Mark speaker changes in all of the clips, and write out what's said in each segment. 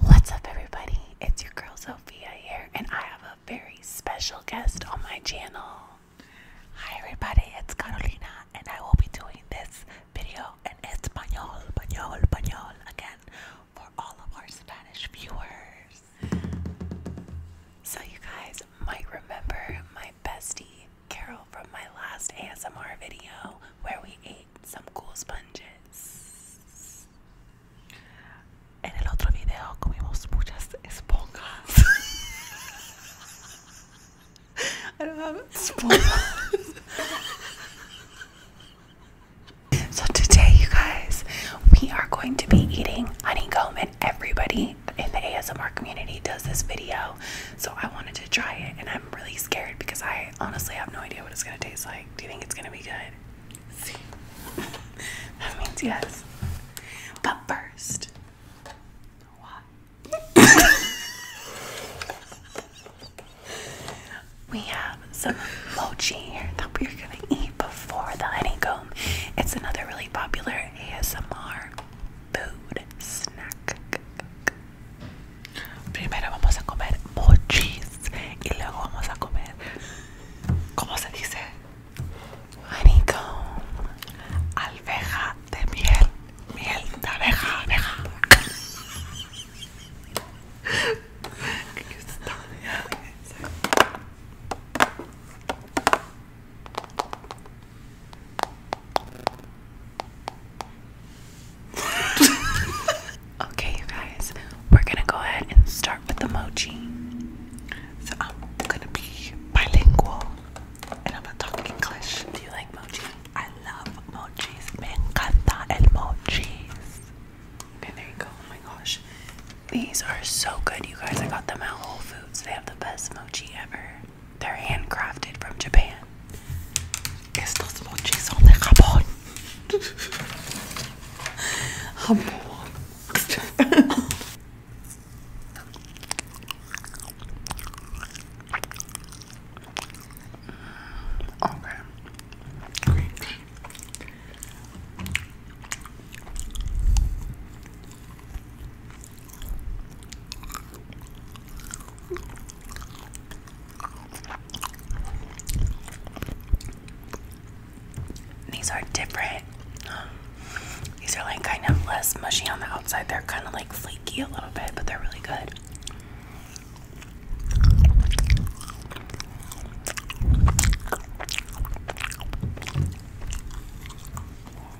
Speaker 1: What's up, everybody? It's your girl Sophia here, and I have a very special guest on my channel. Hi, everybody, it's Carolina, and I will be doing this video in Espanol, Español, Español again for all of our Spanish viewers. So, you guys might remember my bestie Carol from my last ASMR video where we ate some cool sponges. En el otro video comimos muchas esponjas. I don't have esponjas. so today, you guys, we are going to be eating honeycomb, and everybody in the ASMR community does this video. So I wanted to try it, and I'm really scared because I Honestly, I have no idea what it's gonna taste like. Do you think it's gonna be good? See, that means yes. But first, we have some mochi here that we're gonna eat before the honeycomb. It's another really popular ASMR food snack. Primero vamos a comer mochis y luego vamos a comer, ¿cómo se dice? Honeycomb, alveja de miel, miel de abeja, abeja. okay, you guys, we're gonna go ahead and start with the mochi. So I'm gonna be bilingual and I'm gonna talk English. Do you like mochi? I love mochis. Man, encanta and mochis. Okay, there you go. Oh my gosh. These are so good, you guys. I got them at Whole Foods. They have the best mochi ever. They're handcrafted from Japan. Estos mochis son de Japón. Japón. Okay. Green these are different. These are like kind of less mushy on the outside. They're kind of like flaky a little bit, but they're really good.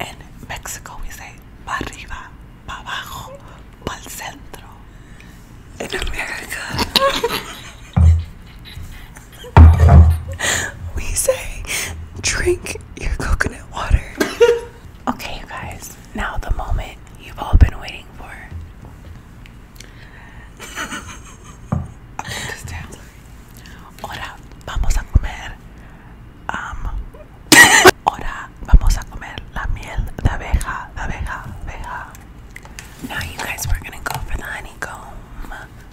Speaker 1: En Mexico we say para arriba, para abajo, para centro. En America we say drink your coconut water. okay, you guys, now the moment you've all been waiting for. Ahora vamos a comer. Um, vamos a comer la miel de abeja, abeja, abeja. Now, you guys, are gonna go for the honeycomb.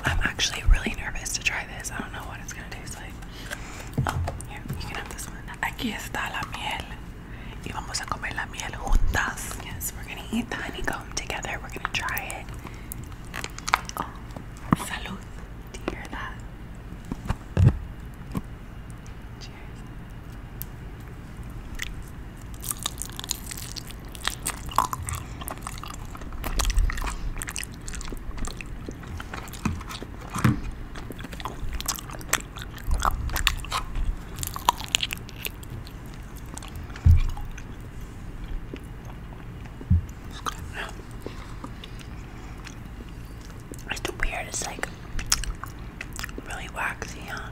Speaker 1: I'm actually really nervous to try this. I don't know what it's gonna taste like. Oh, here, you can have this one. Aquí está la miel. Y vamos a comer Yes, we're gonna eat the honeycomb together. We're gonna try it. Oh, salud. Do you hear that? It's the weird, like really waxy, huh?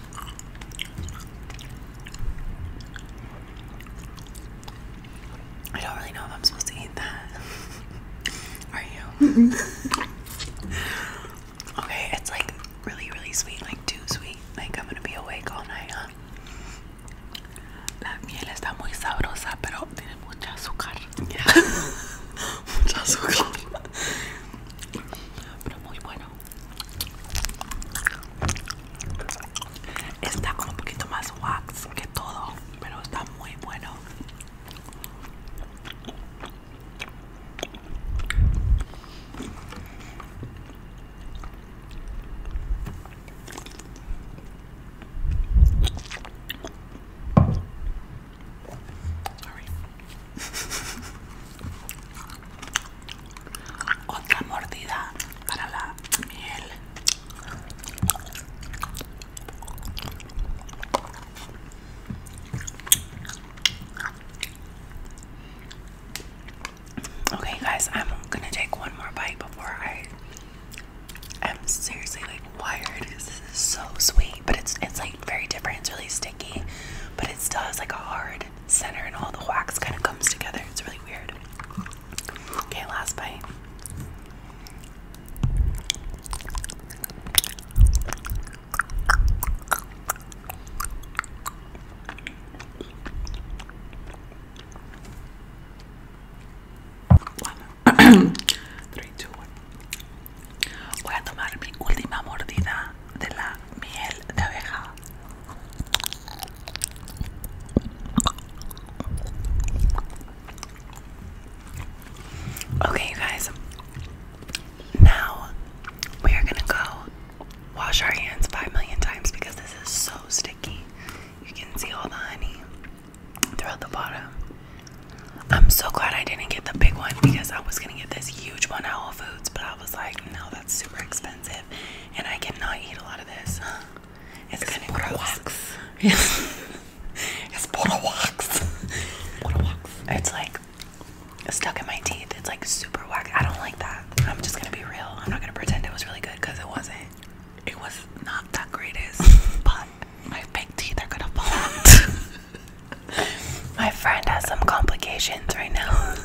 Speaker 1: I don't really know if I'm supposed to eat that. Are you? okay, it's like really, really sweet, like too sweet. Like I'm gonna be awake all night, La miel está muy sabrosa, pero tiene mucha azúcar. mucha azúcar. pero muy buena. está como un poquito más wax que todo pero está muy bueno Okay, guys, I'm gonna take one more bite before I i am seriously like wired. This is so sweet, but it's it's like very different. It's really sticky, but it still has like hard center and all the wax kind of comes together. It's really weird. Okay, last bite. Three, two, one. Okay, guys. Now we are gonna go wash our hands five million times because this is so sticky. You can see all the honey throughout the bottom. I'm so glad I didn't get the big one because I was gonna get this huge one at Whole Foods, but I was like, no, that's super expensive, and I cannot eat a lot of this. It's, kind of gross. Yes. it's botox. wax. It's like stuck in my teeth. It's like super whack. I don't like that. I'm just gonna be real. I'm not gonna pretend it was really good because it wasn't. It was not that greatest, but my big teeth are gonna fall out. My friend has some complications right now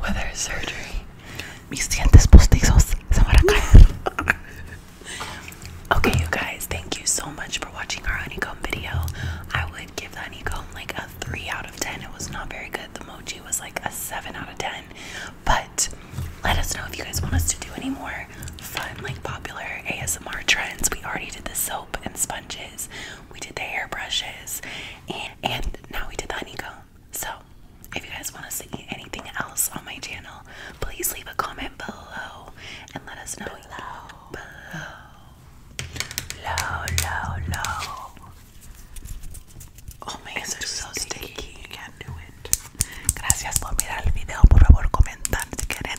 Speaker 1: Whether her surgery. Mis dientes postizos se van a caer. Okay, you guys, thank you so much for watching our honeycomb video. I would give the honeycomb like a 3 out of 10. It was not very good. The mochi was like a 7 out of 10. But let us know if you guys want us to do any more fun, like popular ASMR trends. We already did the soap and sponges, we did the hair and, now we did the honeycomb. So, if you guys want to see anything else on my channel, please leave a comment below and let us know. low, low, low. Oh my god, it's so sticky. You can't do it. Gracias por mirar el video. Por favor, comentar si quieren